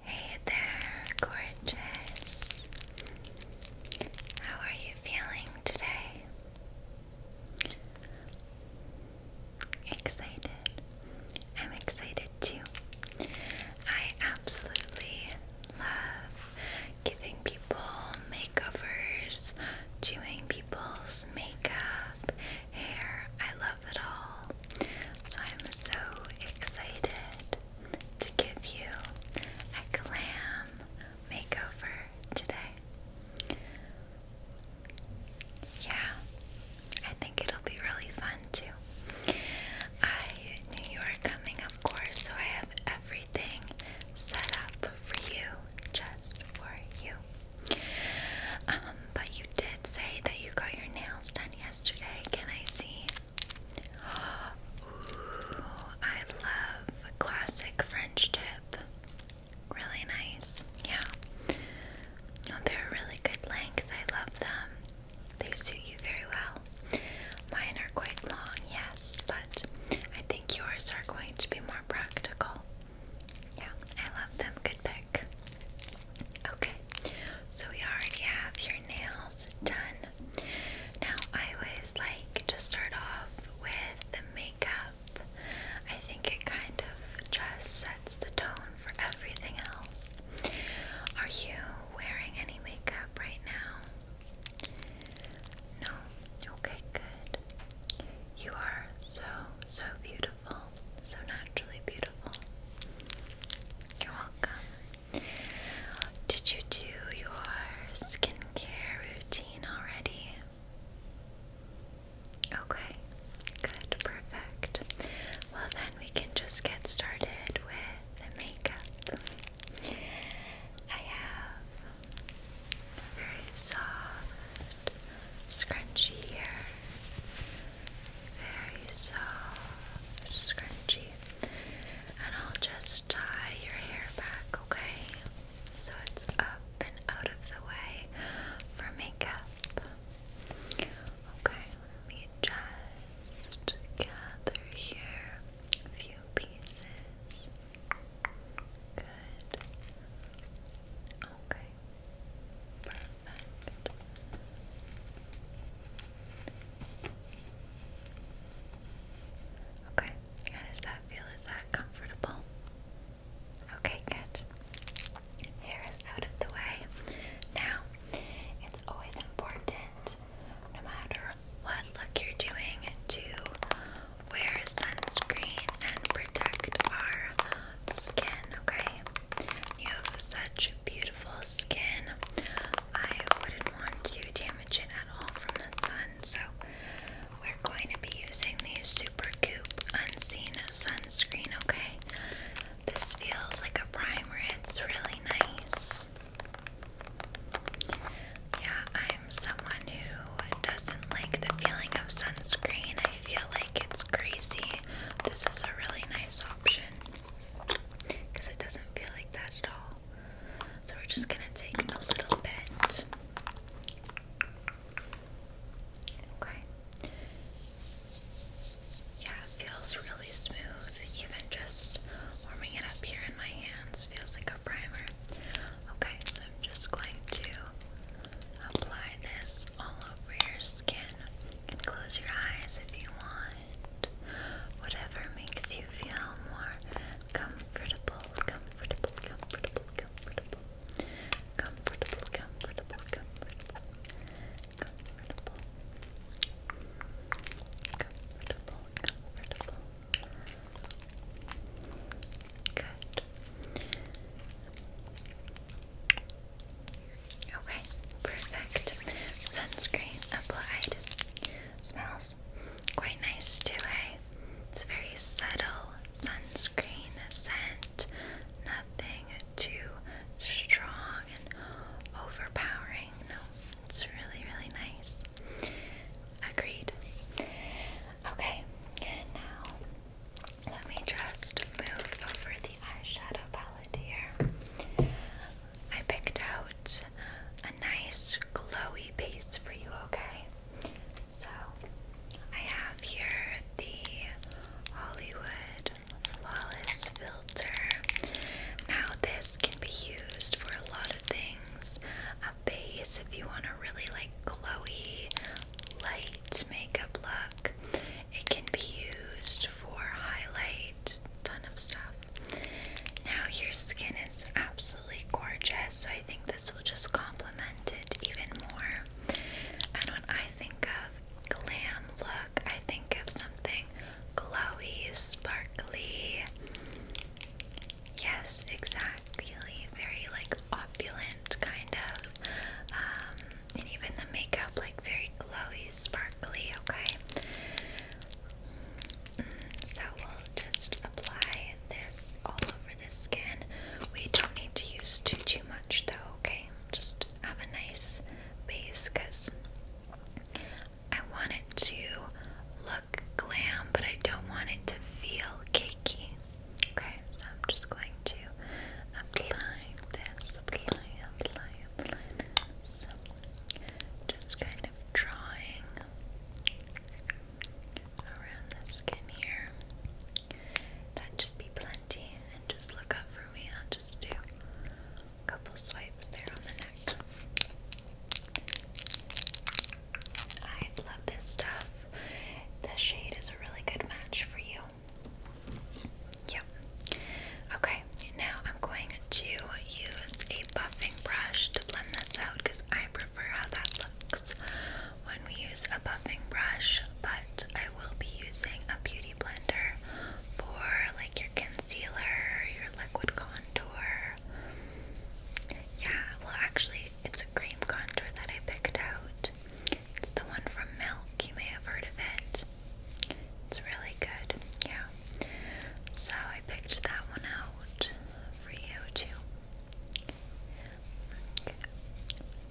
Hey there, gorgeous. How are you feeling today? Excited. I'm excited too. I absolutely love giving people makeovers, doing people's makeup, hair. I so I'm so excited to give you a glam makeover today. Yeah, I think it'll be really fun too. I knew you were coming, of course, so I have everything set up for you, just for you. Um, but you did say that you got your nails done yesterday. Can I see? Ooh, I love classic French tip. Really nice. Yeah. they're really good length. I love them. They suit you very well. Mine are quite long, yes, but I think yours are going to be more practical. Yeah, I love them. Good pick. Okay, so we already have your nails done. Now, I always like to start off with the makeup. I think it kind of just sets the tone for everything else. Are you wearing any makeup right now? No? Okay, good. You are so, so beautiful. So naturally beautiful. You're welcome. Did you do your skincare routine already? Okay, good, perfect. Well, then we can just get started with the makeup. I have very soft, scrunchy hair very soft, scrunchy, and I'll just tie your hair back, okay? So it's up and out of the way for makeup. Okay, let me just gather here a few pieces. Good. Okay. Perfect. Okay, how does that feel? Is that comfortable? Okay, good. Hair is out of the way. Now, it's always important, no matter what look you're doing, to wear sunscreen and protect our skin, okay? You have such beautiful skin. I wouldn't want to damage it at all from the sun, so we're going to be using the Super cute Unseen Sunscreen, okay? This feels like a primer, it's really nice. Yeah, I'm someone who doesn't like the feeling of sunscreen. I feel like it's crazy. This is a really nice option because it doesn't feel like that at all. So we're just gonna take a little bit. Okay. Yeah, it feels really smooth. Even just warming it up here in my hands feels like a primer. Okay, so I'm just going to apply this all over your skin. can close your eyes if you want. Whatever makes you feel more comfortable, comfortable, comfortable. Comfortable, comfortable, comfortable. Comfortable. Comfortable, comfortable. Good. Okay, perfect. Sunscreen applied. Smells quite nice too, eh? It's a very subtle sunscreen scent. Nothing too strong and overpowering. No, it's really, really nice. Agreed. Okay, and now let me just move over the eyeshadow palette here. I picked out a nice glowy base for you, okay? So I have here the Hollywood Flawless Filter. Now, this can be used for a lot of things. A base, if you want a really like glowy, light makeup look, it can be used for highlight, ton of stuff. Now your skin is absolutely gorgeous, so I think this will just complement it even more. And when I think of glam look, I think of something glowy, sparkly. Yes, exactly. Very like opulent kind of. Um, and even the makeup like very glowy, sparkly okay? Mm, so we'll just apply this all over the skin. We don't need to use too too much though, okay? Just have a nice base because I want it to look glam, but I don't want it to feel cakey. Okay, so I'm just going to apply this, apply, apply, so, just kind of drawing around the skin here. That should be plenty. And just look up for me. I'll just do a couple swipes there on the neck. I love this stuff. The shade is a really good match for you. Yeah. Okay, now I'm going to use a buffing brush to blend this out because I prefer how that looks when we use a buffing brush, but I will be using a beauty blender for like your concealer, your liquid contour. Yeah, well, actually, it's a cream contour that I picked out. It's the one from Milk, you may have heard of it. It's really good, yeah. So I picked that one out for you too. Okay.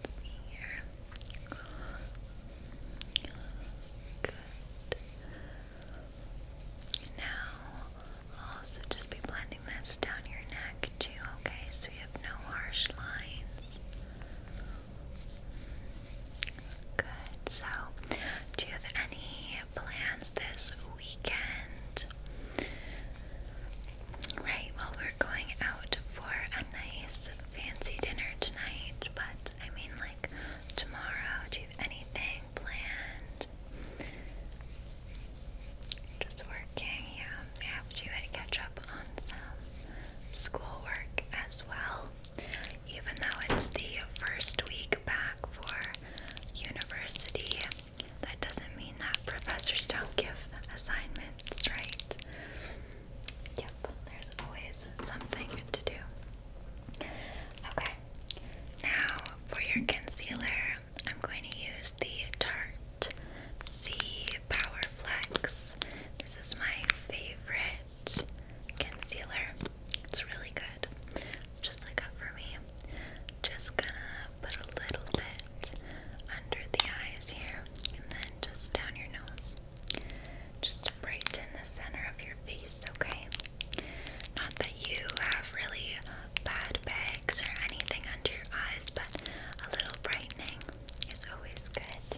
Let's see here. Good. Now, also just be blending this down your neck too, okay? So you have no harsh lines. Good. So, do you have any plans this weekend? Right, well, we're going out for a nice fancy dinner tonight, but I mean, like, tomorrow, do you have anything planned? Just working, yeah. I have to catch up on some schoolwork as well. Even though it's the first week back for university, that doesn't mean that professors don't give assignments, right? Yep, there's always something to do. Okay, now for your concealer, I'm going to use the Tarte C Power Flex. This is my favorite Concealer. It's really good. It's just like up for me. Just gonna put a little bit under the eyes here and then just down your nose. Just to brighten the center of your face, okay? Not that you have really bad bags or anything under your eyes, but a little brightening is always good.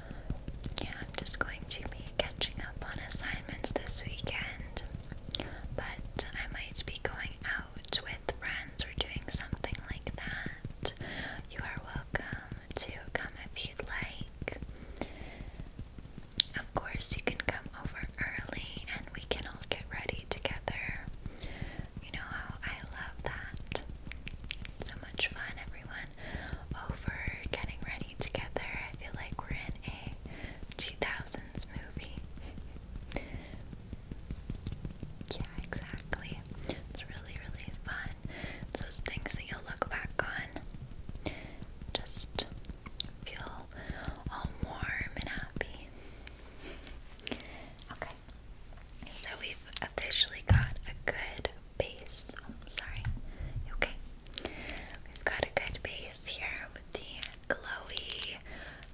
yeah, I'm just going to be catching up on assignments this weekend, but I might be going out with friends or doing something like that. You are welcome to come if you'd like. Of course, you can come over early and we can all get ready together. You know how I love that. So much fun, everyone, over getting ready together. I feel like we're in a 2000s movie. yeah, exactly. It's really, really fun. It's those things that you'll look back on. Just feel all warm and happy. Okay. So we've officially got a good base. Oh, sorry. okay. We've got a good base here with the glowy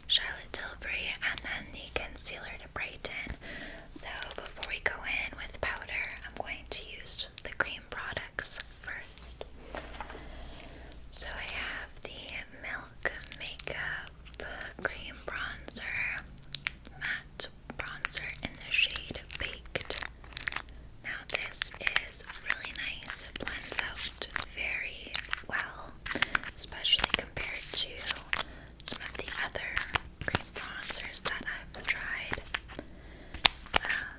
Charlotte Tilbury and then the concealer to brighten. So before we go in with powder, I'm going to use the cream products first. So I have the Milk Makeup Cream Bronzer Matte bronzer in the shade Baked. Now this is really nice. It blends out very well, especially compared to some of the other cream bronzers that I've tried. Um,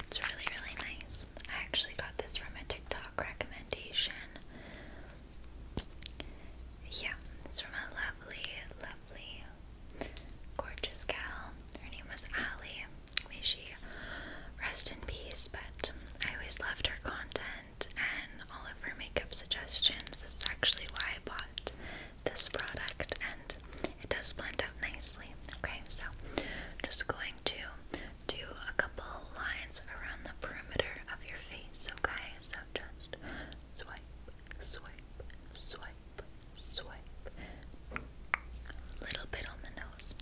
it's really, really nice. I actually got this from a TikTok recommendation. Yeah, it's from a lovely, lovely gorgeous gal. Her name was Ali. May she rest in peace, but I always loved her content and all of her makeup suggestions. This is actually why I bought this product and it does blend out nicely. Okay, so just going to do a couple lines around the perimeter of your face, okay? So just swipe, swipe, swipe swipe, A little bit on the nose.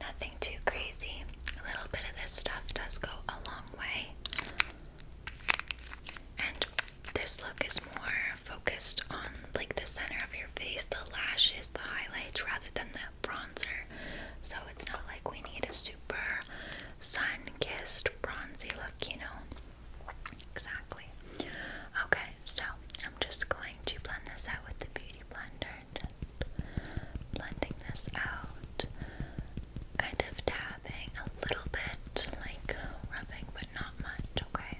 Nothing too crazy. A little bit of this stuff does go a long way. And this look is more focused on like the center of your face, the lashes, the highlights, rather than the bronzer. So it's not like we need a super sun kissed bronzy look, you know. Exactly. Okay, so I'm just going to blend this out with the beauty blender. Just blending this out, kind of dabbing a little bit, like rubbing, but not much, okay?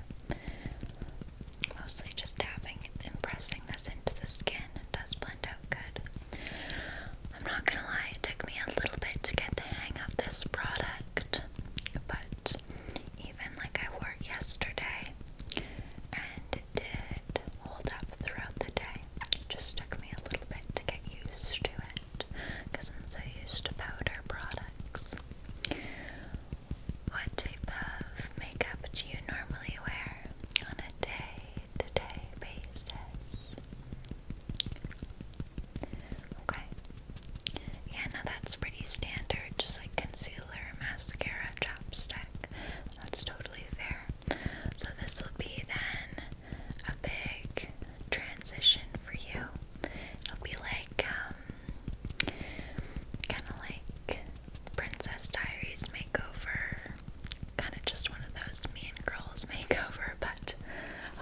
Mostly just dabbing and pressing this into the skin. It does blend out good. I'm not gonna lie, it took me a little bit to get the hang of this product but even like I wore yesterday and it did hold up throughout the day. just took me a little bit to get used to it because I'm so used to powder products. What type of makeup do you normally wear on a day to day basis? Okay. Yeah, now that's pretty standard, just like concealer, mascara, chapstick. That's totally fair. So this will be then a big transition for you. It'll be like um kind of like Princess Diaries makeover. Kind of just one of those me and girls makeover, but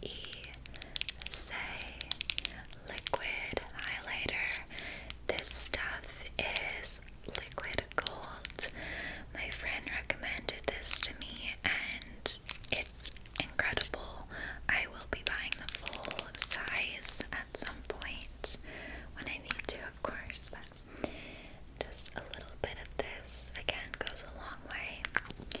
E Liquid Highlighter. This stuff is liquid gold. My friend recommended this to me and it's incredible. I will be buying the full size at some point when I need to, of course, but just a little bit of this again goes a long way.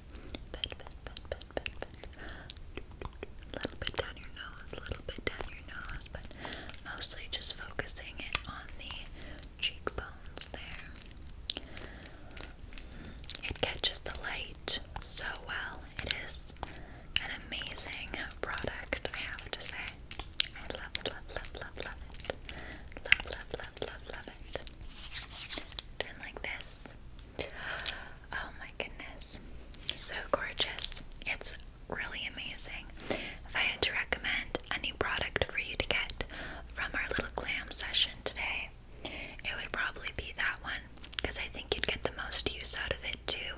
a little bit down your nose, a little bit down your nose, but mostly just focusing it on the cheekbones there. It catches the light so well. It is an amazing product, I have to say. I love, love, love, love, love it. Love, love, love, love, love like this. Oh my goodness. So gorgeous. It's really amazing. If I had to recommend any product for you to get from our little glam session today, it would probably be that one because I think you'd get the most use out of it too.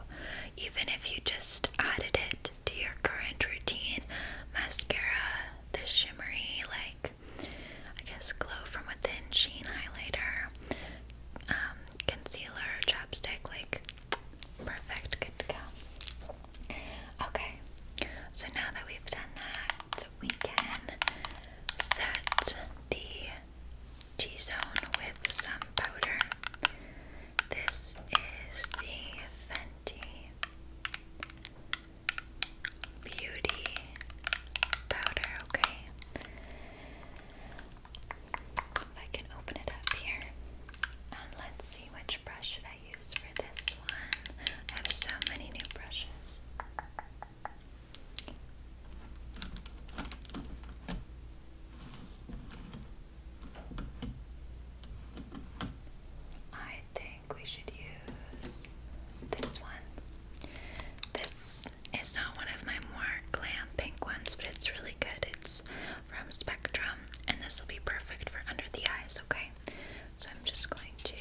Even if you just added it to your current routine mascara, the shimmery, like I guess, glow from within sheen highlighter, um, concealer, chapstick, like, perfect, good to go. Okay, so now that we've done that, we can set the T zone with some powder. This is the Fenty beauty powder, okay? If I can open it up here. let's see which brush should I use for this one. I have so many new brushes. I think we should use this one. This is not one of my more glam pink ones, but it's really good. It's from Spectrum, and this will be perfect for under the eyes, okay? So I'm just going to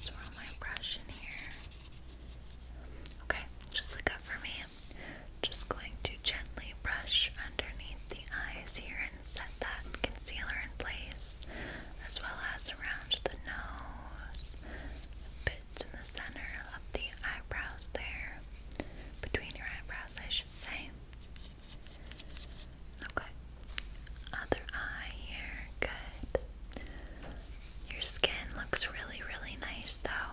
swirl my brush in here. Okay, just look up for me. Just going to gently brush underneath the eyes here and set that concealer in place as well as around the nose, bit in the center of the eyebrows there, between your eyebrows, I should say. Okay, other eye here, good. Your skin looks really, really nice though.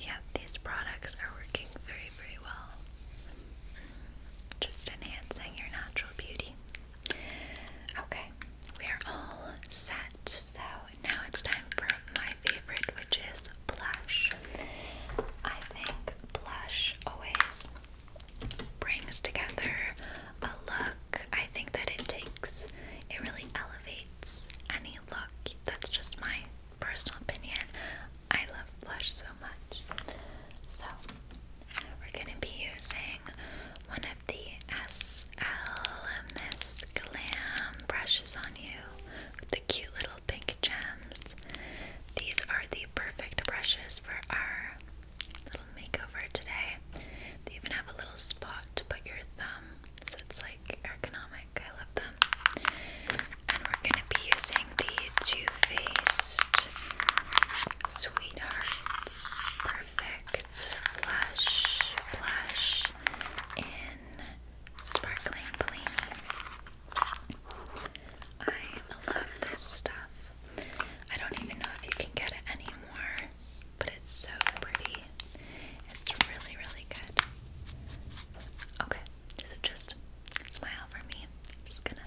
Yep, these products are working very, very well. Mm-hmm. Just enhancing your natural beauty. Okay, we are all set. So now it's time for my favorite, which is blush. I think blush always brings together a look. I think that it takes, it really elevates any look. That's just my personal opinion. I love blush so much. So we're going to be using one of the SLMS Glam brushes on you with the cute little pink gems. These are the perfect brushes for our little makeover today. They even have a little spot to put your thumb, so it's like ergonomic. I love them. And we're going to be using the Too Faced Sweetheart, perfect flush, blush in sparkling Bellini. I love this stuff. I don't even know if you can get it anymore, but it's so pretty. It's really, really good. Okay, so just smile for me. I'm just gonna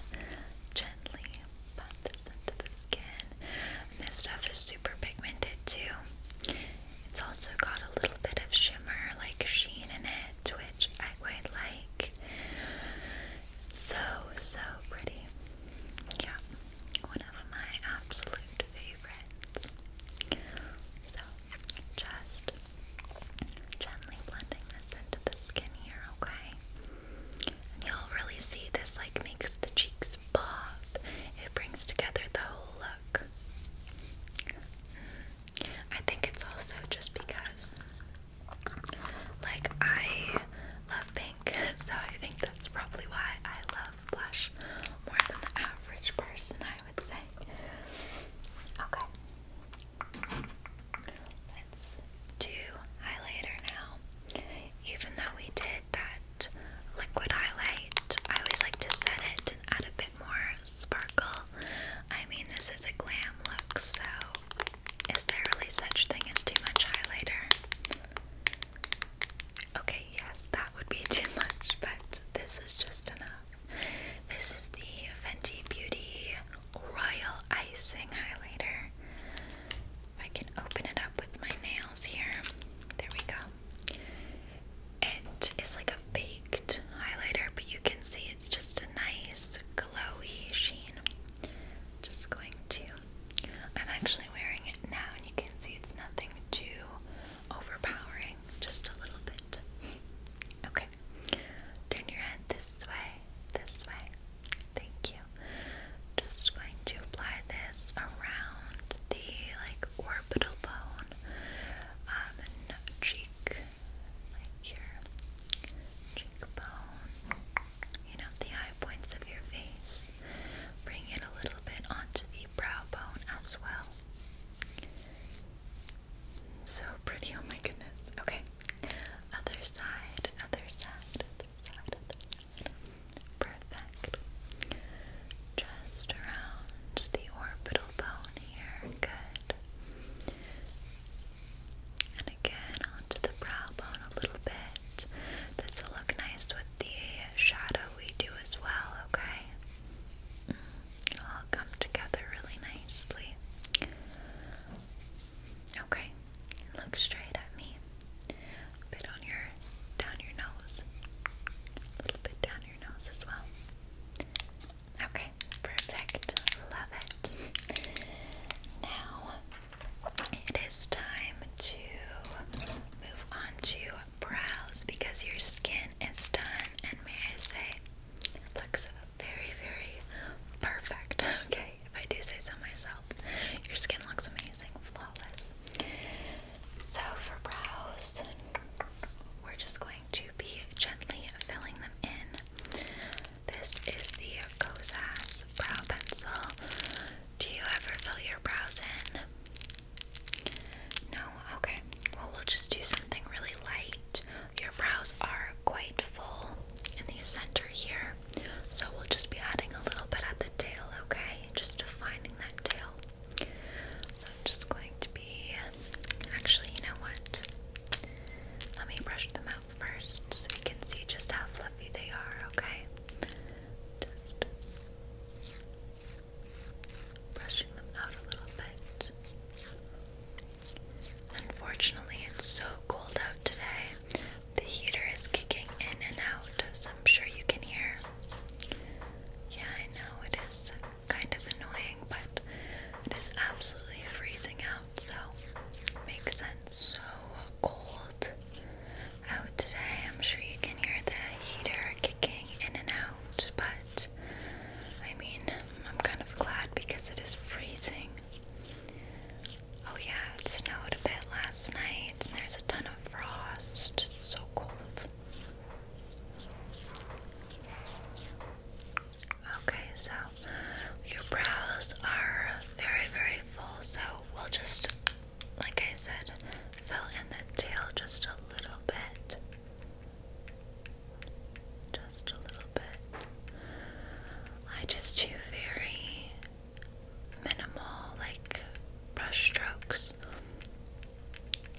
gently pop this into the skin. this stuff is super pigmented too. It's also got a little bit of shimmer, like sheen in it, which I quite like. So, so pretty. Yeah, one of my absolute favorites. So, just gently blending this into the skin here, okay? y'all really see this like makes the cheeks pop. It brings together the whole look. Mm. I think it's also just because like I love pink, so I think that's probably why I love blush more than the average person, I would say. Okay to highlighter now. Even though we did that liquid highlight, I always like to set it and add a bit more sparkle. I mean, this is a glam look, so is there really such thing as too much highlighter? Okay, yes, that would be too much, but this is just enough. This is the Fenty Beauty Royal Icing Highlighter. I can open it up with my nails here. There we go. It is like a baked highlighter, but you can see it's just a nice glowy sheen. Just going to. I'm actually wearing it now, and you can see it's nothing too overpowering, just a little bit. Okay. Turn your head this way, this way. Thank you. Just going to apply this around the like orbital bone um, and cheek, like your cheekbone, you know, the high points of your face. Bring it a little bit onto the brow bone as well. So pretty, oh my goodness. Okay, other side, other side. Perfect. Just around the orbital bone here. Good. And again onto the brow bone a little bit. This will look nice with the shadow we do as well, okay? It'll mm, all come together really nicely. Okay, look straight at me. bit on your down your nose. A little bit down your nose as well. Okay, perfect. Love it. Now it is time to move on to brows because your skin is done and may I say looks very very perfect. Okay if I do say so myself. Your skin looks amazing, flawless. So for brows, we're just going to be gently filling them in. This is the Kozas brow pencil. Do you ever fill your brows in? No? Okay. Well, we'll just do something really light. Your brows are quite full in the center here. So we'll just be adding a little bit at the tail, okay? Just defining that tail. So I'm just going to be, actually, you know what? Let me brush them out first so we can see just how fluffy they are, okay? brushing them out a little bit. Unfortunately, it's so cold out today. The heater is kicking in and out, so I'm sure you can hear. Yeah, I know it is kind of annoying, but it is absolutely freezing out, so makes sense. So cold out today. I'm sure you can hear the heater kicking in and out, but I mean, I'm kind of glad because it is freezing. Oh yeah, it snowed a bit last night and there's a ton of frost. It's so cold. Okay, so your brows are very, very full, so we'll just, like I said, fill in the tail just a little bit. Just a little bit. I just do very minimal like brush strokes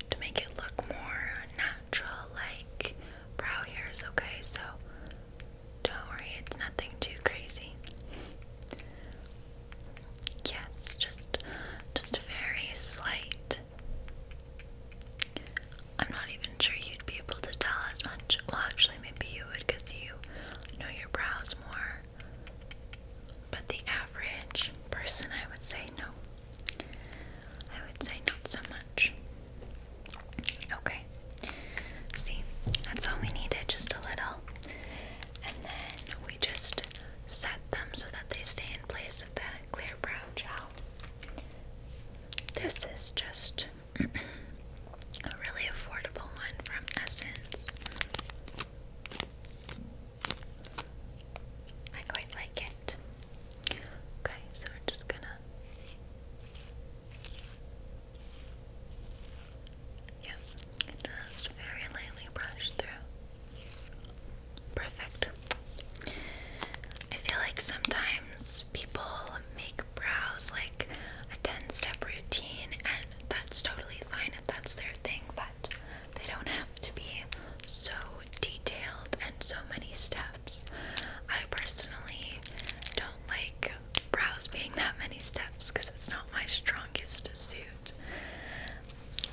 to make it look more natural like brow hairs, okay? So don't worry, it's nothing too crazy. Yes, just just very slight. I'm not even sure you'd be able to tell as much. Well, actually, maybe you would you know your brows more. But the average person, I would say no. I would say not so much. Okay. See, that's all we needed, just a little. And then we just set them so that they stay in place with the clear brow gel. This is just a really affordable one from Essence. I quite like it. Okay, so we're just gonna. Yep, just very lightly brush through. Perfect. I feel like sometimes people make brows like a 10 step routine that's totally fine if that's their thing, but they don't have to be so detailed and so many steps. I personally don't like brows being that many steps because it's not my strongest suit.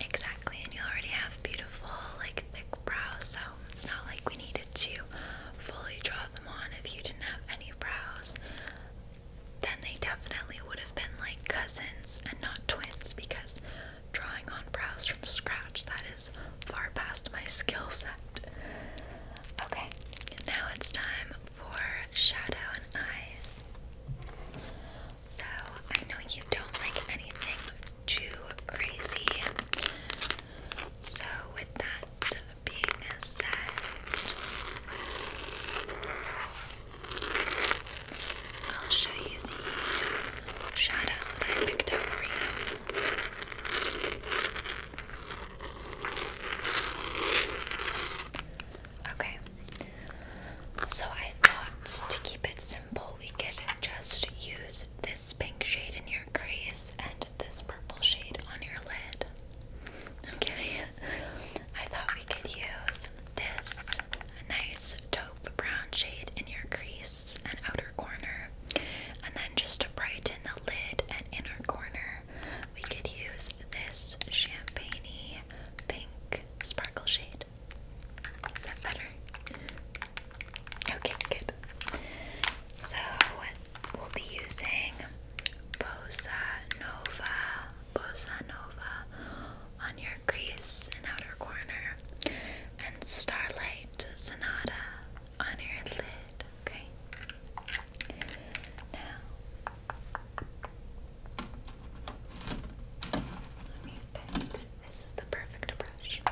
Exactly, and you already have beautiful, like thick brows, so it's not like we needed to fully draw them on if you didn't have any brows then they definitely would have been like cousins and not twins because drawing on brows from scratch, that is far past my skill set. Okay, now it's time for shadow and eyes. So, I know you don't like anything too crazy. So, with that, being said. I'll show you the shadows that I picked up for you. Okay, so I thought to keep it simple, we could just use this pink shade in your crease and this purple shade on your lid. i I thought we could use this nice taupe brown shade in your crease and outer corner. And then just to brighten the lid and inner corner, we could use this champagne pink sparkle shade. Is that better? Okay, good. So we'll be using Bossa Nova, Bossa Nova on your crease and outer corner, and Starlight Sonata on your lid. Okay. Now, let me This is the perfect brush.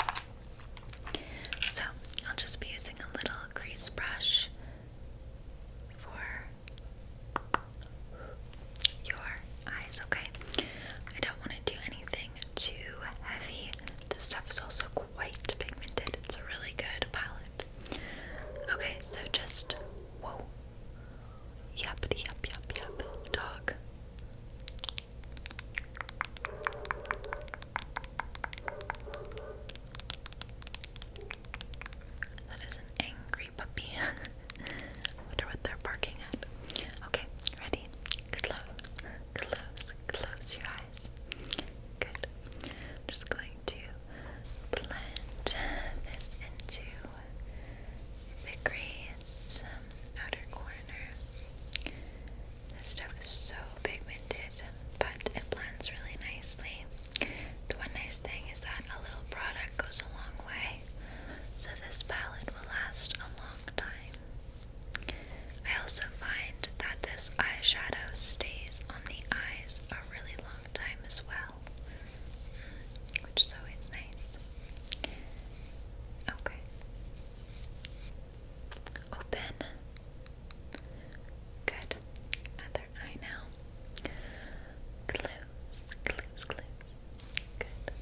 So, I'll just be using a little crease brush for your eyes, okay? I don't want to do anything too heavy. This stuff is also quite pigmented. It's a really good palette. Okay, so just whoa. Yep, yep, yep, yep. Dog. That is an angry puppy. Wonder what they're barking at. Okay, ready? Close, close, close your eyes. Good. just going to blend this into the crease um, outer corner. This stuff is so pigmented but it blends really nicely. The one nice thing is that a little product goes a long way, so this palette will last a long time. I also find that this eyeshadow stays on the eyes a really long time as well, which is always nice. Okay. Open. Good other eye now. Close, close, close. Good.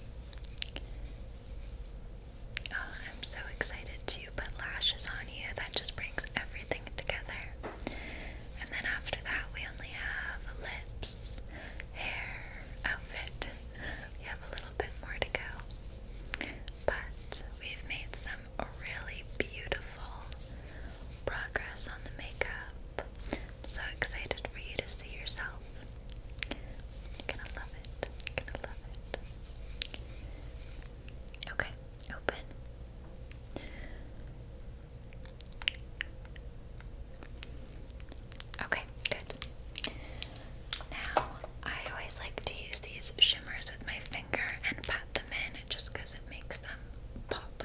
Oh, I'm so excited to put lashes on you. That just brings everything together. And then after that, we only have lips, hair, outfit. We have a little bit more to go. But we've made some some really beautiful progress on the makeup. so excited for you to see yourself. You're gonna love it. You're gonna love it. Okay, open. Okay, good. Now, I always like to use these shimmers with my finger and pat them in just because it makes them pop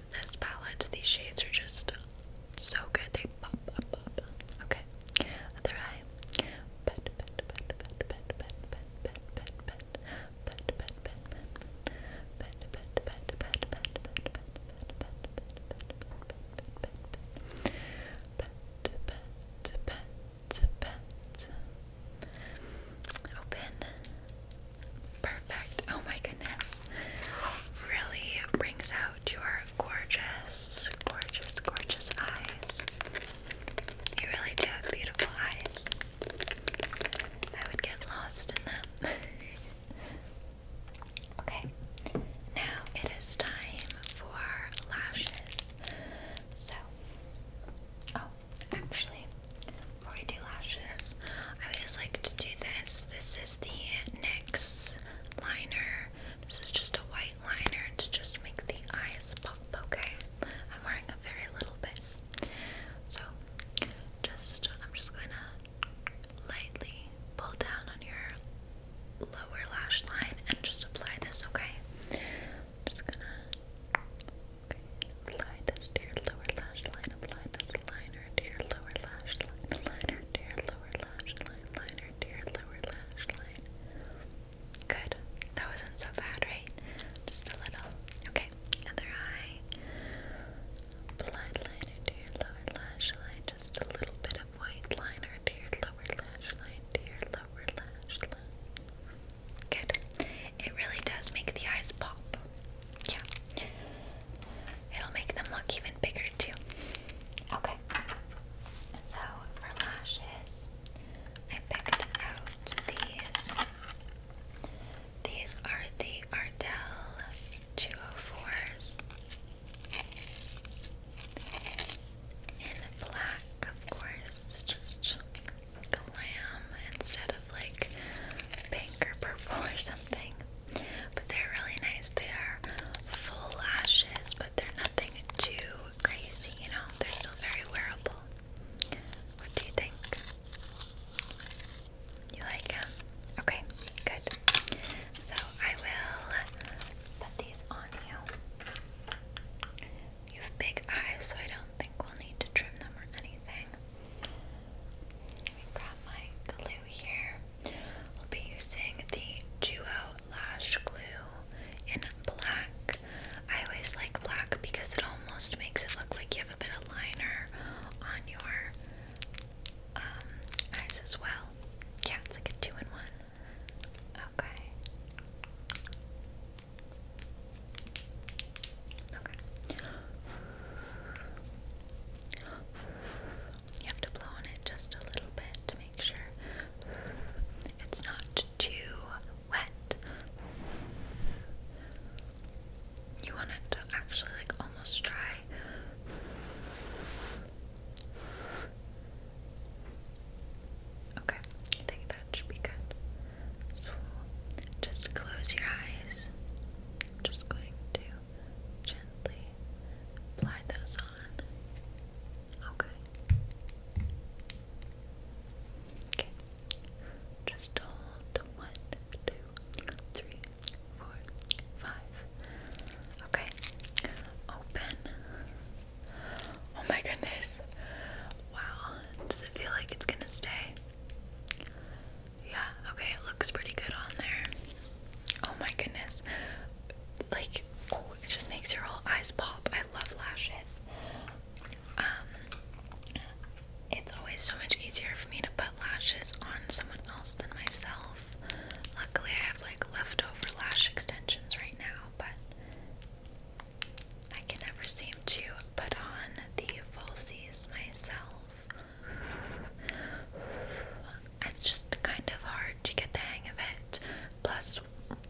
this palette. These shades are just so good. They pop, pop, pop. Okay. Other eye. Pet, pet, pet, pet, pet, pet, pet, pet, pet, pet, pet, pet, pet, Open. Perfect. Oh my goodness really brings out your gorgeous, gorgeous, gorgeous eyes. You really do have beautiful eyes. I would get lost in them. okay, now it is time for lashes. So, oh, actually, before we do lashes, I always like to do this. This is the NYX liner. This is just a white liner to just make the eyes pop, okay? I'm wearing a very little bit. So, just, I'm just going to lightly pull down on your lower lash line and just apply this, okay? just going to apply this to your lower lash line, apply this liner to your lower lash line, to lower lash line, liner to lower lash line. Good. That wasn't so bad, right? Just a little. Okay. Other eye. Blind liner to lower lash line. Just a little bit of white liner to lower lash line, to lower lash line. Good. It really does make the eyes pop. Yeah. It'll make them look even bigger too. Okay. So for lashes, I picked out these. These are the Ardell 204s in black, of course, just glam instead of like pink or purple or something. But they're really nice. They are full lashes, but they're nothing too crazy, you know? They're still very wearable. What do you think? You like them? Okay, good. So I will put these on you. You have big eyes, so I don't think we'll need to trim them or anything. Let me grab my glue here. I'll be using the Duo Lash Glue in black. I always like black because it almost makes it look like you have a bit of liner on your um, eyes as well. Yeah, it's like a two in one. Okay. Okay. You have to blow on it just a little bit to make sure it's not too wet. You want it to actually like almost dry. Okay, I think that should be good. So just close your eyes. just going to gently apply those on. Okay. Okay. Just hold the one, two, three, four, five. Okay. Open. Oh my goodness. Wow. Does it feel like it's gonna stay? Yeah, okay, it looks pretty good on there. Oh my goodness. Like, oh, it just makes your whole eyes pop. I love lashes. Um, it's always so much easier for me to put lashes on someone else than myself. Luckily, I have like leftover lash extensions right now, but I can never seem to put on the falsies myself. It's just kind of hard to get the hang of it. Plus,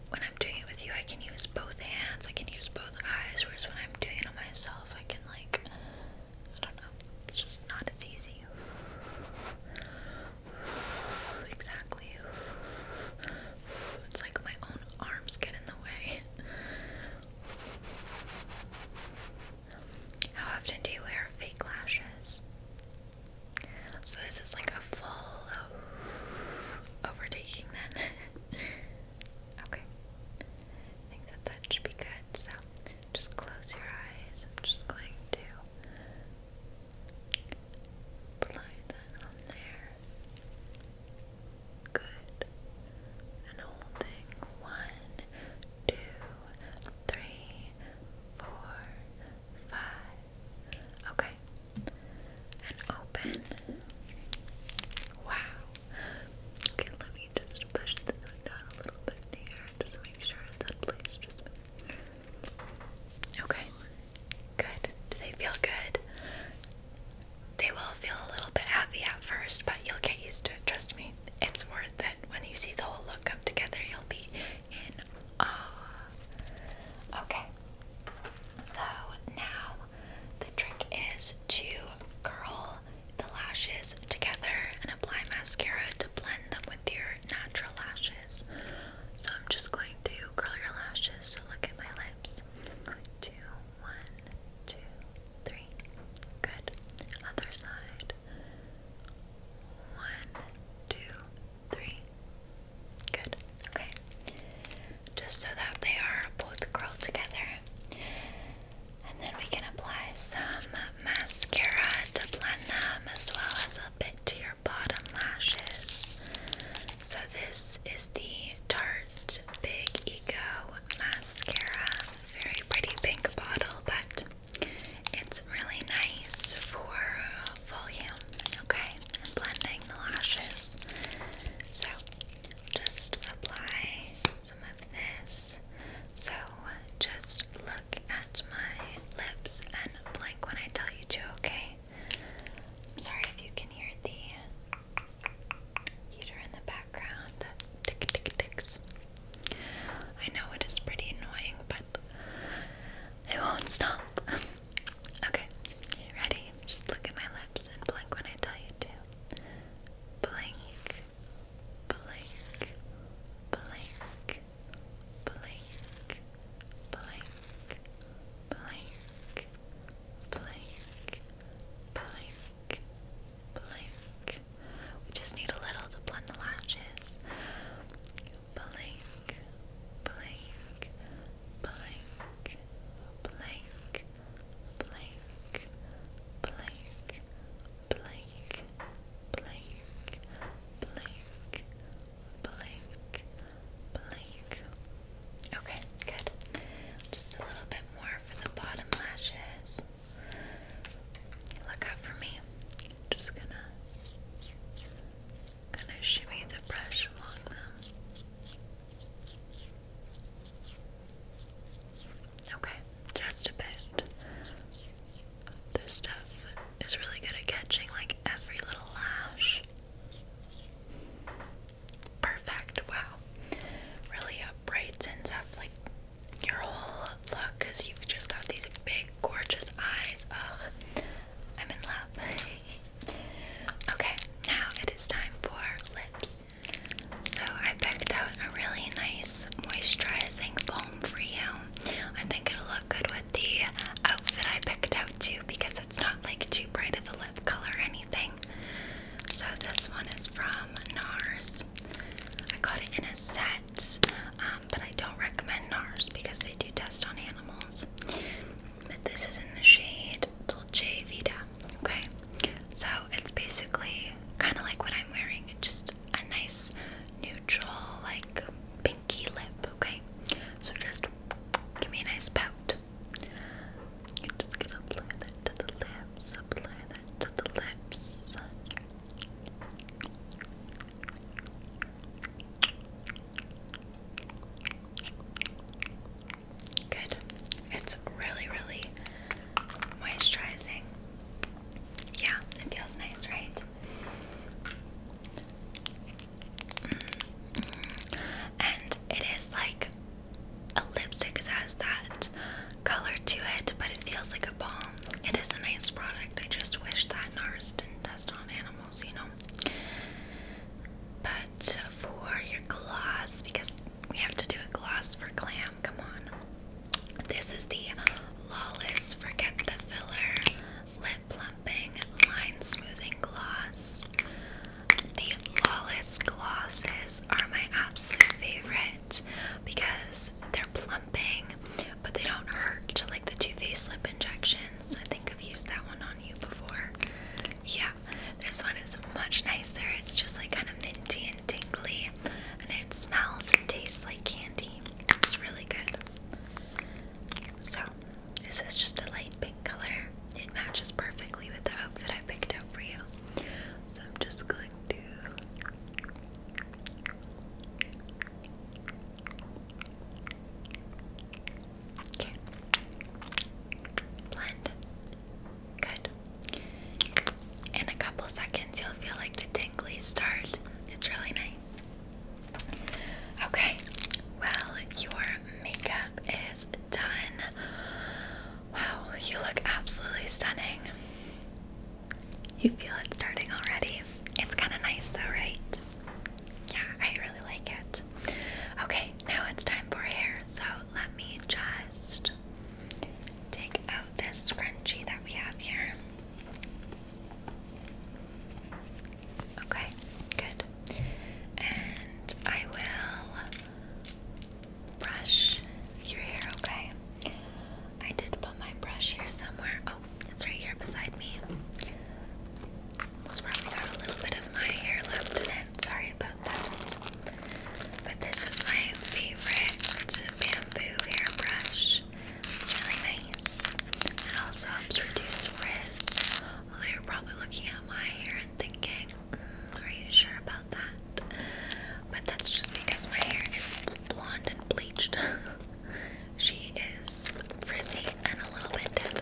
when I'm doing it with you, I can use both hands, I can use both eyes, whereas when I'm doing it on myself, I can, like, I don't know, it's just not as easy. Exactly. It's like my own arms get in the way. How often do you wear fake lashes? So this is like a full overtaking then. okay. I think that that should be good. So just close your eyes. I'm just going to apply that on there. Good. And holding one, two, three, four, five. Okay. And open. Wow. Okay, let me just push this one a little bit here. Just make sure it's in place. Just Okay. Good. Do they feel good? They will feel a little bit heavy at first, but you'll get used to it. Trust me. It's worth sure that when you see the whole look come together, you'll be in awe. Okay, so now the trick is to curl the lashes together and apply mascara to blend them with your natural lashes. So I'm just going to curl your lashes. So look at my lips. i Good. Other side. One, two, three. Good. Okay. Just so that they are both curled together. And then we can apply some mascara to blend them as well as a bit to your bottom lashes. So, this is the Tarte Big Ego Mascara. Very pretty pink bottle, but it's really nice for uh, volume, okay, blending the lashes. So, just apply some of this. So, just look at my lips and blink when I tell you to, okay? I'm sorry if you can hear the heater in the background, tick tick ticks. I know it is pretty annoying, but I won't stop. okay, ready? Just look at my lips and blink when I tell you to. Blink, blink, blink, blink, blink, blink, blink, blink. Blink, blink. We just need a little to blend the lashes. Blink, blink, blink, blink, blink, blink, blink, blink, blink, blink, blink. Okay, good. Just a little bit more for the bottom lashes. Look up for me. Just gonna gonna shimmy the brush along them. Okay, just a bit. This stuff is really good at catching like every little lash. Perfect, wow. Really up uh, brightens up like your whole look because you've just got these big, gorgeous eyes. Ugh, I'm in love. okay, now it is time for lips. So I picked out a really nice moisturizing foam for you. I think it'll look good with the outfit I picked out too because it's not like too bright of a lip color or anything. So this one is from NARS. I got it in a set um, but I don't recommend NARS because they do test on animals. But this is in the shade Little Dolce Vida. Okay, so it's basically kind of like what I'm wearing, just a nice neutral, like pinky lip. Okay, so just give me a nice pout. You just gonna apply that to the lips, apply to the lips. Good. It's really, really moisturizing. Yeah, it feels nice, right? Mm-hmm. And it is like a lipstick that that color to it, but it feels like a balm. It is a nice product. I just wish that NARS didn't test on animals, you know. But for your gloss, because we have to do a gloss for glam, come on. This is the Lawless Forget the Filler Lip Plumping Line Smoothing Gloss. The Lawless glosses are my absolute favorite because they're plumping, but they don't hurt like the Too Faced lip injections. I think I've used that one on you before. Yeah, this one is much nicer. It's just like kind of minty and tingly, and it smells and tastes like candy. It's really good. So, this is just a light pink color. It matches perfectly with the outfit I picked out for you. So I'm just going to Okay. Blend. Good. In a couple seconds, you'll feel like the tingles start. It's really nice. Okay. Well, your makeup is done. Wow, you look absolutely stunning. You feel it starting already. It's kind of nice though, right? Yeah, I really like it. Okay, now it's time for hair. So let me just take out this scrunchie that we have here. Okay, good. And I will brush your hair, okay? I did put my brush here somewhere. Oh, it's right here beside me. It's probably got a little bit of my hair left in it. Sorry about that. But this is my favorite bamboo hairbrush. It's really nice. It also helps reduce frizz. Although you're probably looking at my hair and thinking, hmm, are you sure about that? But that's just because my hair is blonde and bleached. She is frizzy and a little winded.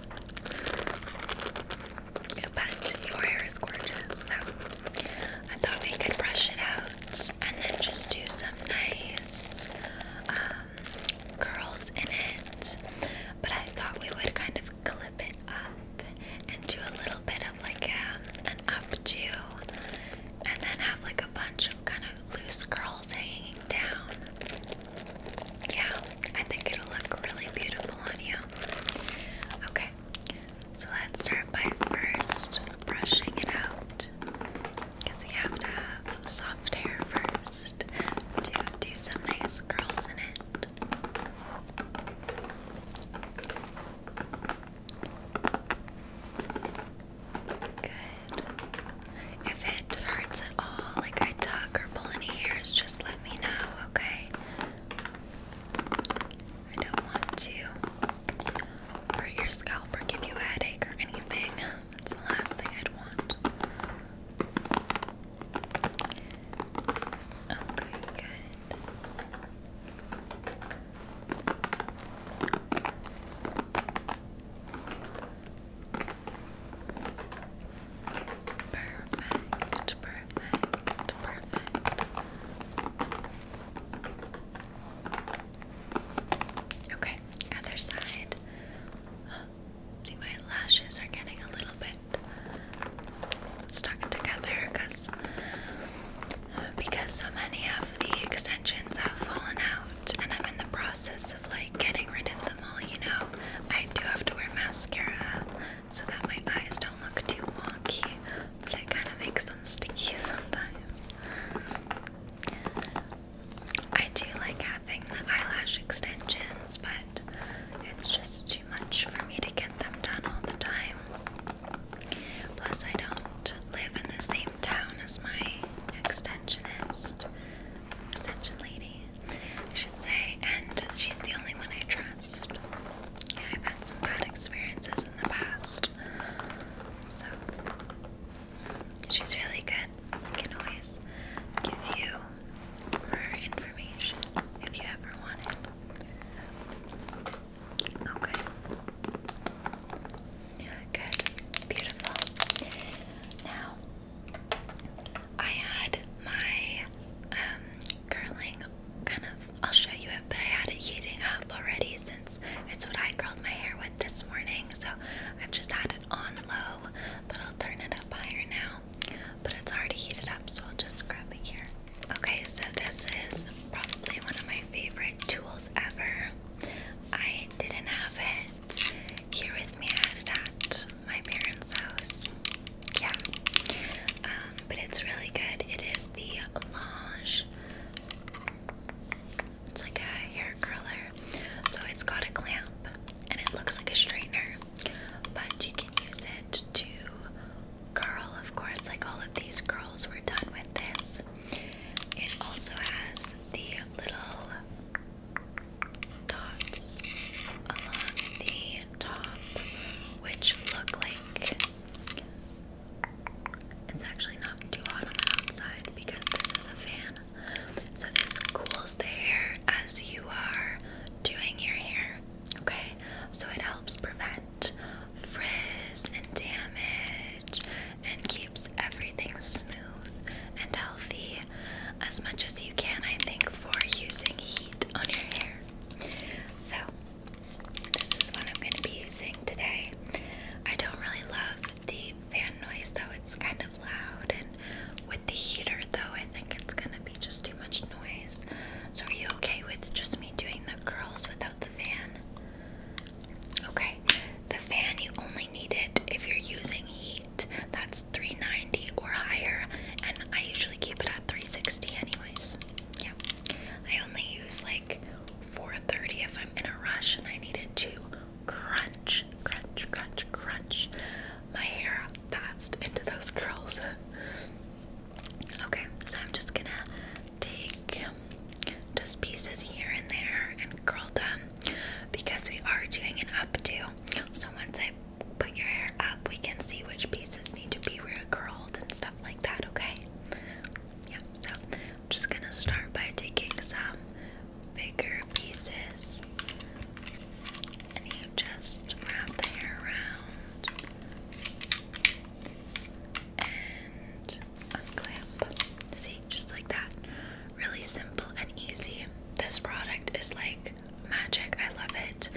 But your hair is gorgeous, so I thought we could brush it out and then just do some nice um, curls in it. But I thought we would kind of clip it up and do a little bit of like um, an updo and then have like a bunch kind of loose curls hanging down. Yeah, I think it'll look really beautiful on you. Okay, so let's start by first brushing it out. Because you have to have soft hair first to do some nice curls in it. Good. If it hurts at all, like I tuck or pull any hairs, just let me know, okay? I don't want to hurt your scalp or give you a headache or anything. That's the last thing I'd want. Okay, good. Perfect, perfect, perfect. Okay, other side. See, my lashes are getting a little bit stuck together because because so many of the extensions have fallen out and I'm in the process of like getting rid of them all, you know. I do have to wear mascara so that my eyes don't look too wonky, but it kind of makes them sticky sometimes. I do like having the eyelash extensions, but it's just too much for me to get them done all the time. Plus, I don't live in the same town as my extensionist, extension lady, I should say, and she's the only one I trust. Yeah, I've had some bad experiences in the past, so mm, she's really good. I can always give you her information if you ever want it. Okay. Good. Beautiful. Now, I had my um, curling kind of, I'll show you it, but I had it heating up already since it's what I curled my hair with this morning. So I've just had it on low, but I'll turn it up higher now. But it's already heated up, so I'll just grab it here. Okay, so this is probably one of my favorite tools ever. I didn't have it here with me. at my parents' house. Yeah. Um, but it's really good. It is the Lange. It's like a hair curler. So it's got a clamp and it looks like a straightener. But you can use it to curl, of course, like all of these curls were done with this. It also has the little dots along the top, which look like it's actually not too hot on the outside because this is a fan. So this cools the hair as you are doing your hair. Okay, so it helps prevent frizz and damage and keeps everything smooth and healthy as much as you can, I think, for using heat on your hair. So, this is what I'm going to be using today. I don't really love the fan noise though, it's kind of loud, and with the heater though, I think it's going to be just too much noise. So, are you okay with just me doing the curls without the fan? Okay, the fan you only need it if you're using heat. That's 390 or higher, and I usually keep it at 360 anyways. Yeah, I only use like 430 if I'm in a rush and I need it to crunch, crunch, crunch, crunch my hair fast into those curls. okay, so I'm just gonna take just pieces here and there and curl them because we are doing an updo. So once I put your hair up, we can see which pieces need to be re recurled and stuff like that, okay? Yeah, so I'm just gonna start by taking some bigger pieces and you just wrap the hair around and unclamp. See, just like that. Really simple and easy. This product is like magic. I love it.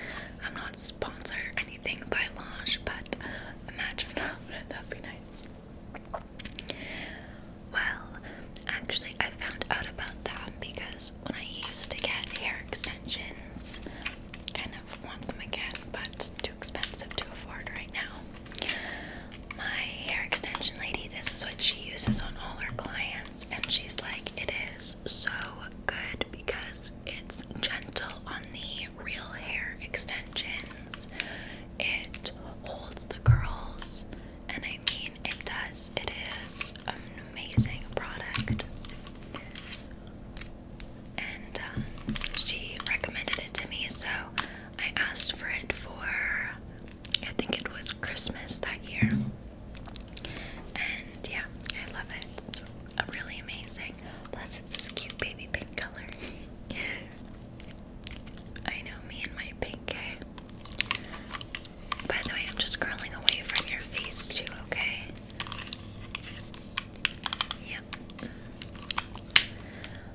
I'm not sponsored or anything by Lange, but imagine that. That'd be nice. Well, actually, I found out about that because when I used to get hair extensions, kind of want them again, but too expensive to afford right now my hair extension lady, this is what she uses on all her clients, and she's like, it is so good because it's gentle on the real hair extensions. It holds the curls, and I mean, it does. It is an amazing product. And um, she recommended it to me, so I asked for it for I think it was Christmas that year. And yeah, I love it. It's really amazing. Plus it's this cute baby pink color. I know me and my pink, eh? By the way, I'm just scrolling away from your face too, okay? Yep.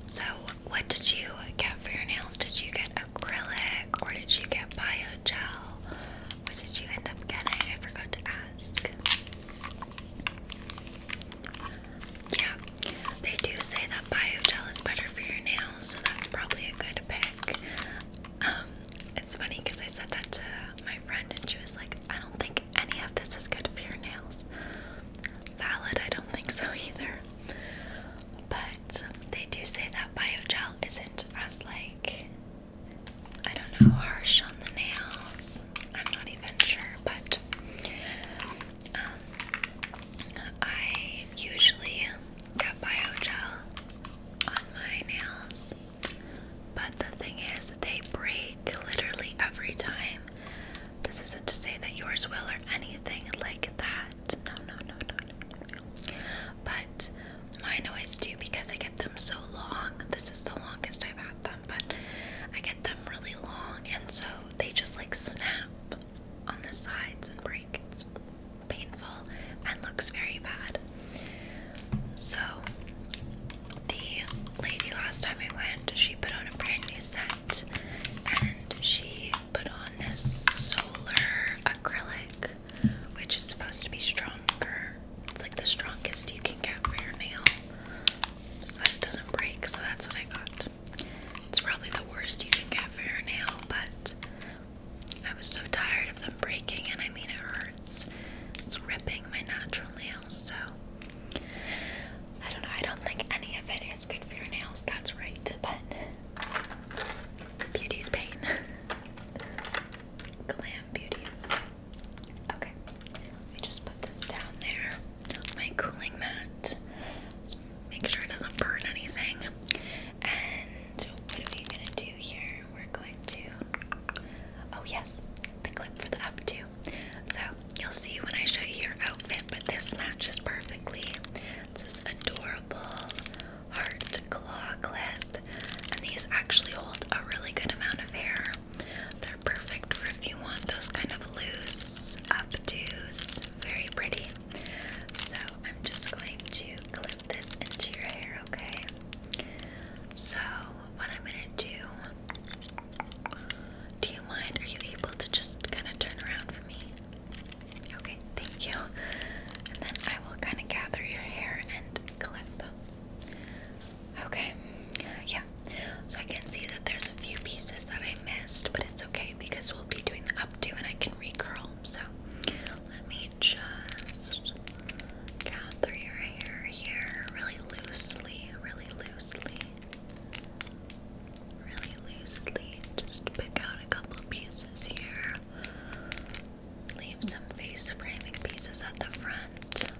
So, what did you get for your nails? Did you get acrylic or did you get biogel? What did you end up getting? I forgot to ask. Yeah, they do say that biogel is better for your nails, so that's probably a good pick. Um, it's funny because I said that to my friend, and she was like, I don't think any of this is good for your nails. Valid, I don't think so either. But they do say that bio gel isn't as like I don't know harsh on the nails. I'm not even sure, but um, I usually get biogel on my nails. But the thing is, they break literally every time this isn't to say that yours will or anything like that. No, no, no, no, no. But I always do because I get them so long. This is the longest I've had them, but I get them really long, and so they just like snap on the sides and break. It's painful and looks very bad. So, the lady last time I went, she put on a brand new set and she put on this solar acrylic, which is supposed to be stronger. It's like the strongest you can get for your nail so that it doesn't break. So that's what I got. It's probably the worst you can get for your nail, but I was so tired of them breaking, and I mean, it hurts. It's ripping my natural nails, so I don't know, I don't think any of it is good for your nails, that's right, but beauty's pain. Glam beauty. Okay, let me just put this down there. My cooling mat. make sure it doesn't burn anything. And what are we gonna do here? We're going to. Oh, yes, the clip for the updo. So You'll see when I show you your outfit, but this matches perfectly. It's this adorable heart claw clip, and these actually hold a really good amount of hair. They're perfect for if you want those kind of loose updos. Very pretty. So I'm just going to clip this into your hair, okay? So, what I'm gonna do do you mind? Are you able to just kind of turn around for me? Okay, thank you. And then I will kind of gather your hair and clip. them. Okay, yeah. So I can see that there's a few pieces that I missed, but it's okay because we'll be doing the updo and I can recurl. So let me just gather your hair here really loosely, really loosely really loosely just pick out a couple pieces here. Leave some face framing pieces at the front.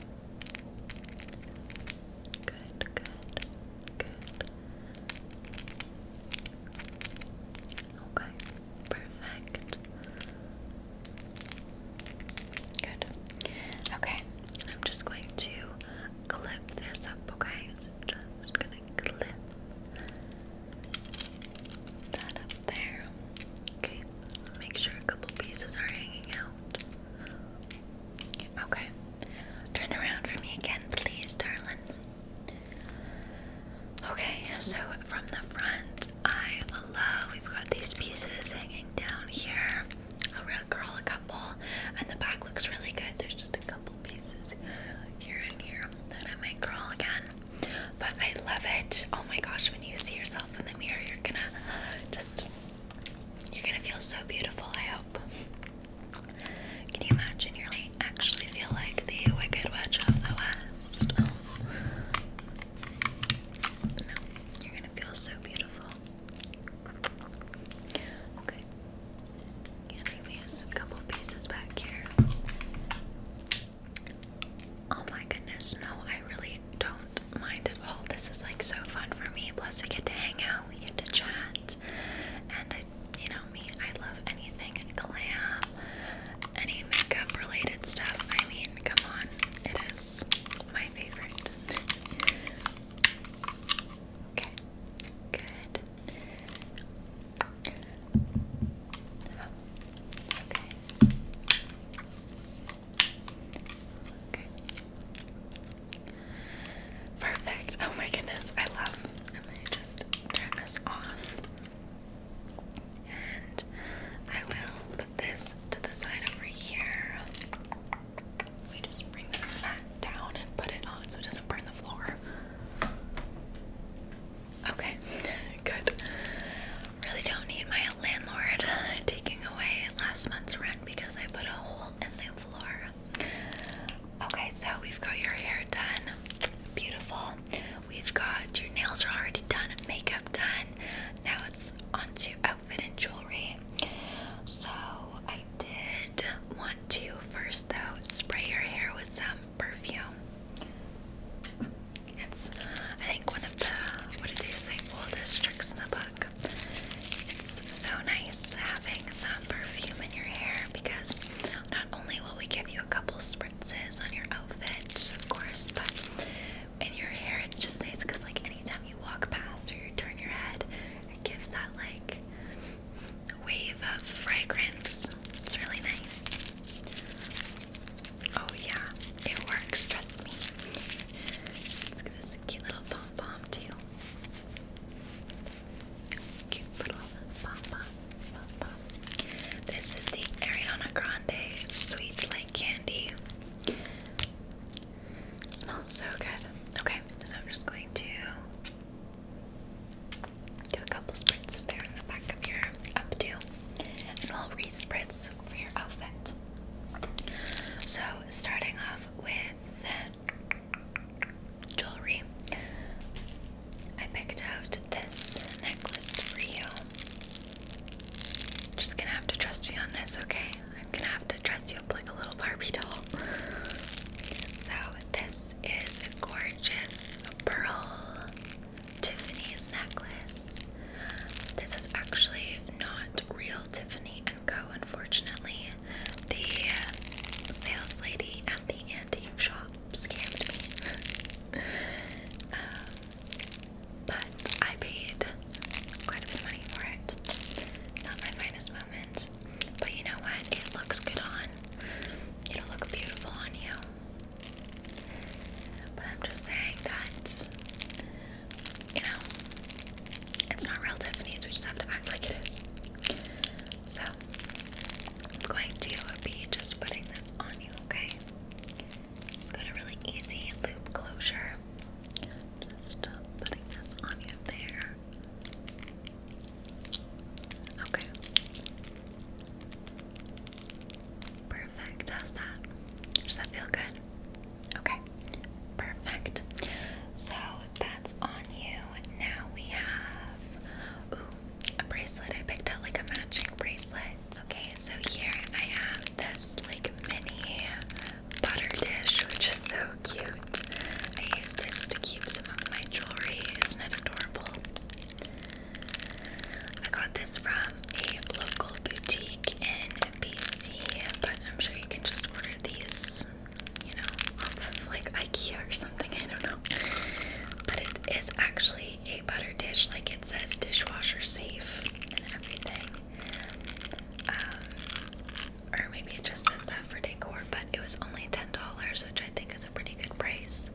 Good, good, good. Okay, perfect. Good. Okay, I'm just going to clip this up, okay? is just gonna clip that up there. Okay, make sure a couple pieces are hanging out. Okay, turn around for me again, please, darling. Okay, so from the front, I love we've got these pieces hanging down here around a a couple, and the back looks really good. There's just a couple pieces here and here that I might curl again, but I love it. Oh my gosh, when you see yourself in the mirror, you're gonna just you're gonna feel so beautiful. I hope. Can you imagine? You're like actually feel like the Wicked Witch of the West. Oh. No, you're gonna feel so beautiful. Okay. going these couple pieces back here. Oh my goodness, no, I really don't mind at all. This is like so fun for me. Plus, we get to hang out, we get to chat, and you know me, I love anything glam, any makeup related stuff. I mean, come on, it is my favorite. Okay, Perfect. Oh my goodness, I love. I'm just turn this off. And I will put this to the side over here. We just bring this back down and put it on so it doesn't burn the floor. Okay, good. Really don't need my landlord taking away last month's rent because I put a hole in the floor. Okay, so we've got your hair done. Beautiful. We've got your nails are already done, makeup done. Now it's on to outfit and jewelry. So I did want to first, though, spray your hair with some perfume. It's, I think, one of the, what did they say, oldest tricks in the book. It's so nice having some perfume in your hair because not only will we give you a couple spritzes on your outfit, of course, but in your hair it's just nice because, like, anytime you walk past or you turn your head, it gives that, like, wave of fragrance. It's really nice. Oh, yeah, it works, trust me. Let's get this cute little pom pom, too. Cute little pom pom, pom pom. This is the Ariana Grande Sweet Like Candy. smells so good. Okay, so I'm just going to do a couple spritzes there in the back of your updo, and we'll respritz for your outfit. So, starting off with jewelry, I picked out this necklace for you. Just gonna have to trust me on this, okay? I'm gonna have to dress you up like a little Barbie doll. So, this is a gorgeous pearl Tiffany's necklace. This is actually not real Tiffany and Co. Unfortunately, the sales lady at the antique shop scammed me. Um, but I paid quite a bit of money for it. Not my finest moment it. But you know what? It looks good on. It'll look beautiful on you. But I'm just saying that, you know, it's not real Tiffany's. We just have to act like it is. So, I'm going to be just putting this on you, okay? got a really easy loop closure. Just putting this on you there. Okay. Perfect. How's that? Does that feel good? Okay. Perfect. So that's on you. Now we have ooh, a bracelet. I picked out like a matching bracelet. Okay, so here I have this like mini butter dish, which is so cute. I use this to keep some of my jewelry. Isn't it adorable? I got this from a local boutique in BC, but I'm sure you can just order these, you know, off of like IKEA or something. I don't know. But it is actually a butter dish, like it says dishwasher safe and everything. Um, or maybe it just says that for decor, but it was only $10, which I think is a pretty good price.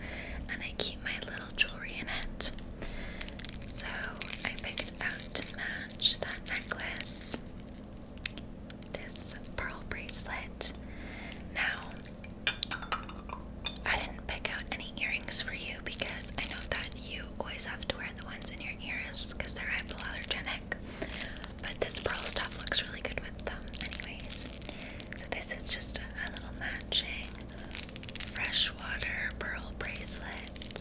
And I keep my little jewelry in it. So I picked out to match that necklace, this pearl bracelet. Now, I didn't pick out any earrings for you because I know that you always have to wear the ones in your ears because they're hypoallergenic. But this pearl stuff looks really good with them, anyways. So, this is just a, little matching freshwater pearl bracelet. I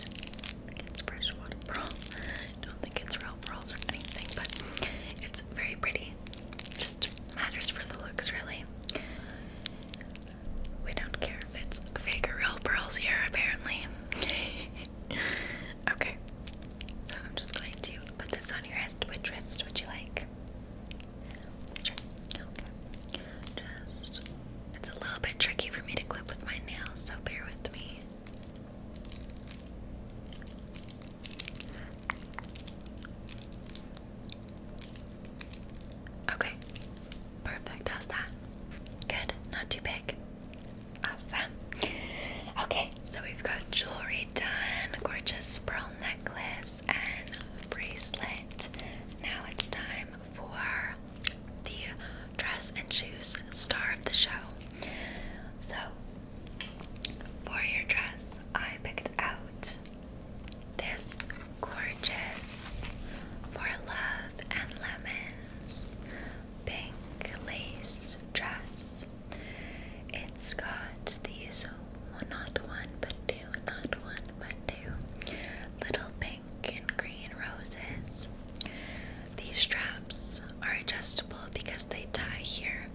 think it's freshwater pearl. I don't think it's real pearls or anything, but it's very pretty. Just matters for the looks, really. We don't care if it's fake or real pearls here, apparently. okay, so I'm just going to put this on your wrist. Which wrist would you like? Sure. Okay. Just, it's a little bit tricky for me to clip with my nails, so bear with me. Okay, perfect. How's that? Good, not too big. Awesome. Okay, so we've got jewelry done, gorgeous pearl necklace and bracelet. Now it's time for the dress and shoes star of the show. So, for your dress, I picked out this gorgeous For Love and Lemons pink lace dress it's got these well, not one but two, not one but two little pink and green roses. These straps are adjustable because they tie here.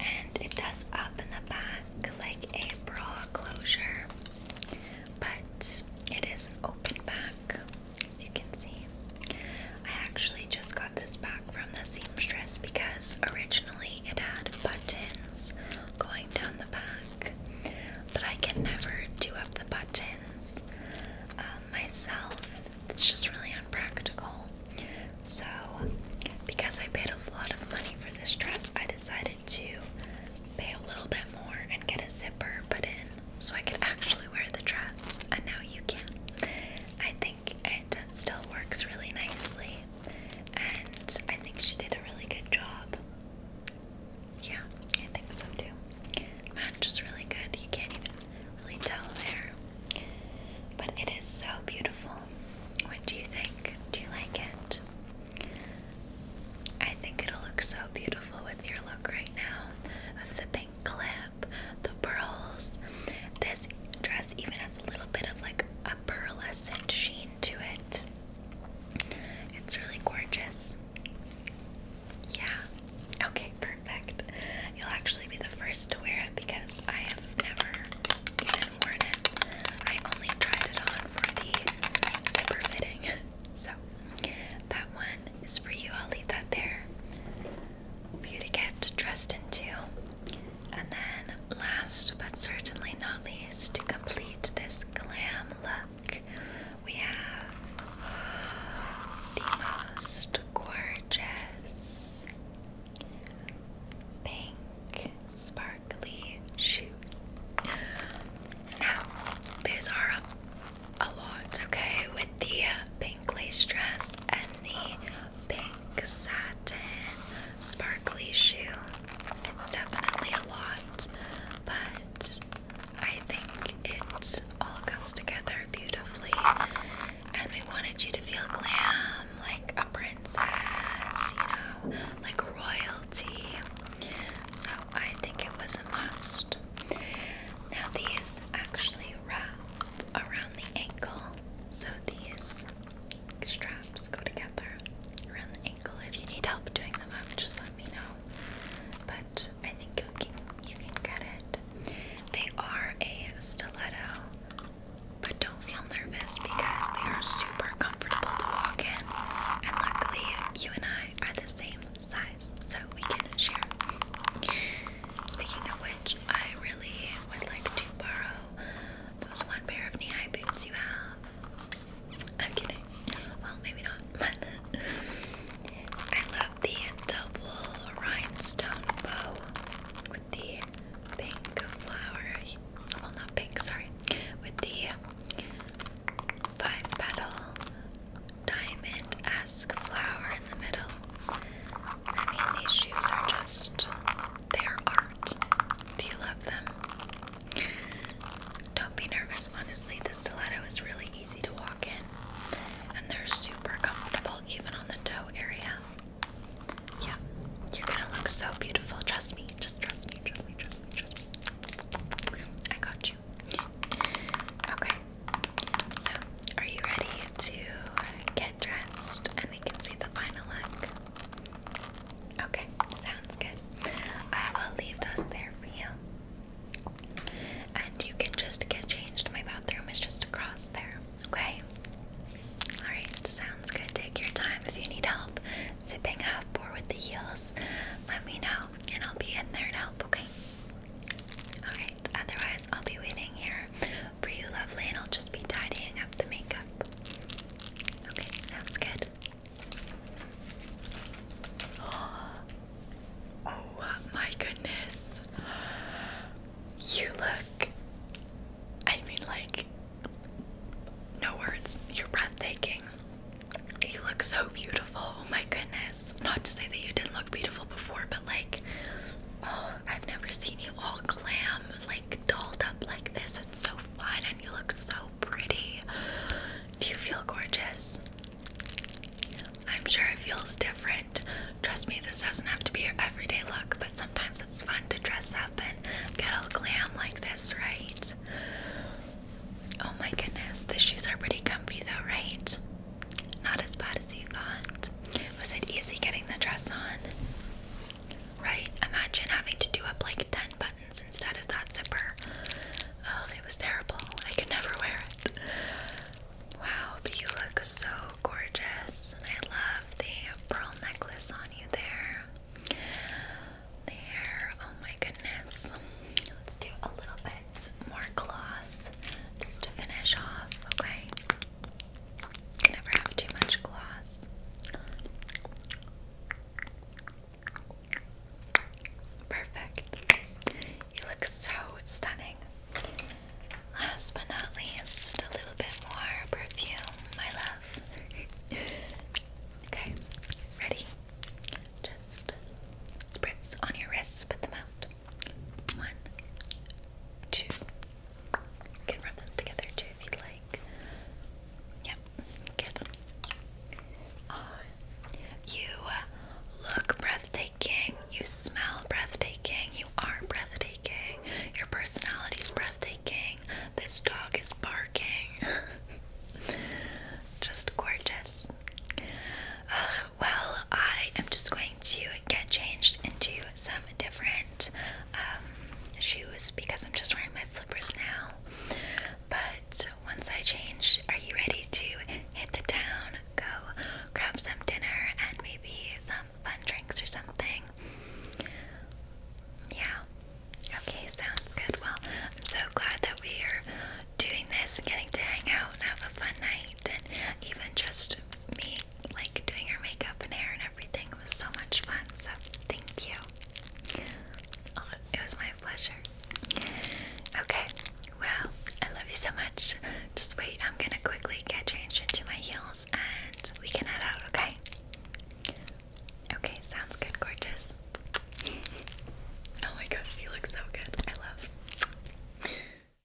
And it does up in the back like a bra closure, but it is an open back as you can see. I actually just got this back from the seamstress because originally it had buttons going down the back, but I can never do up the buttons uh, myself. It's just really impractical. So, because I paid a lot of money for this dress, I decided to pay a little bit more and get a zipper put in so I could actually wear the dress. And now you can. I think it still works really nicely, and I think she did a really good job. Yeah, I think so too. Matches really good. You can't even really tell there, but it is so beautiful. What do you think? Do you like it? I think it'll look so beautiful with your look right now, with the pink clip the pearls. This dress even has a little bit of like a pearlescent sheen to it. It's really gorgeous. Yeah. Okay, perfect. You'll actually be the first to wear it because I have never even worn it. I only tried it on for the zipper fitting. So that one is for you. I'll leave that there. Beauty Cat dressed in teal. And then, last but certainly not least, to complete this glam look, we have the most gorgeous pink sparkly shoes. Now, these are a lot, okay, with the uh, pink. Glazed dress and the pink satin sparkly shoe. It's definitely a lot, but I think it all comes together beautifully. And we wanted you to feel glam, like a princess, you know, like royalty. So I think it was a must. Now, these actually wrap around the ankle. So these straps go together around the ankle. If you need help doing them up, just let me know. But I think you can you can get it. They are a stiletto, but don't feel nervous because they are super comfortable to walk in. And luckily, you and I are the same size, so we can share. Speaking of which, I really would like to borrow those one pair of knee-high boots you have. I'm kidding. Well, maybe not, but I love the double rhinestone bow with the pink flower. Well, not pink, sorry. With the five petal diamond esque flower in the middle. I mean, these shoes are just, they are art. Do you love them? Don't be nervous, honestly. The stiletto is really easy to walk in, and they're super comfortable, even on the toe area. Yeah, you're gonna look so beautiful. Trust me, just trust me, trust me, trust me, trust me. I got you. Okay, so, are you ready to get dressed and we can see the final look? Okay, sounds good. I will leave those there for you. And you can just get changed. My bathroom is just across there, okay? Alright, sounds good. Take your time. If you need help zipping up or with the heels, let me know and I'll be in there to help, okay? Alright, otherwise, I'll be waiting here for lovely, and I'll just be tidying up the makeup. Okay, sounds good. oh my goodness. You look, I mean, like, no words. You're breathtaking. You look so beautiful. Oh my goodness. Not to say that you didn't look beautiful before, but like, oh, I've never seen you all glam, like dolled up like this. It's so fun and you look so pretty. Do you feel gorgeous? I'm sure it feels different. Trust me, this doesn't have to be your everyday look, but sometimes it's fun to dress up and get all glam like this, right? Oh my goodness, the shoes are pretty comfy though, right? Not as bad as you thought. Was it easy getting the dress on? Right? Imagine having to do up like 10 buttons instead of that zipper. Oh, it was terrible. I could never wear it. Wow, but you look so gorgeous. And I love the pearl necklace on you there. The hair, oh my goodness. Let's do a little bit more gloss just to finish off, okay? Never have too much gloss. Perfect. You look so stunning. Last but not least, a little bit more perfume, my love. okay, ready? Just spritz on your wrists, put them out. One, two. You can rub them together too if you'd like. Yep, get them. Uh, you look breathtaking. You smell breathtaking. You are breathtaking. Your personality is breathtaking. This dog is barking. Just gorgeous. Uh, well, I am just going to get changed into some different um, shoes because I'm just wearing my slippers now. But once I change, are you ready to hit the town, go grab some dinner, and maybe some fun drinks or something? Yeah. Okay, sounds good. Well, I'm so glad that we are doing this and getting to hang out and have a fun night and even just me like doing her makeup and hair and everything. It was so much fun. So thank you. Oh, it was my pleasure. Okay. Well, I love you so much. Just wait. I'm gonna quickly get changed into my heels and we can head out. Okay. Okay. Sounds good. Gorgeous. oh my gosh, you look so good. I love.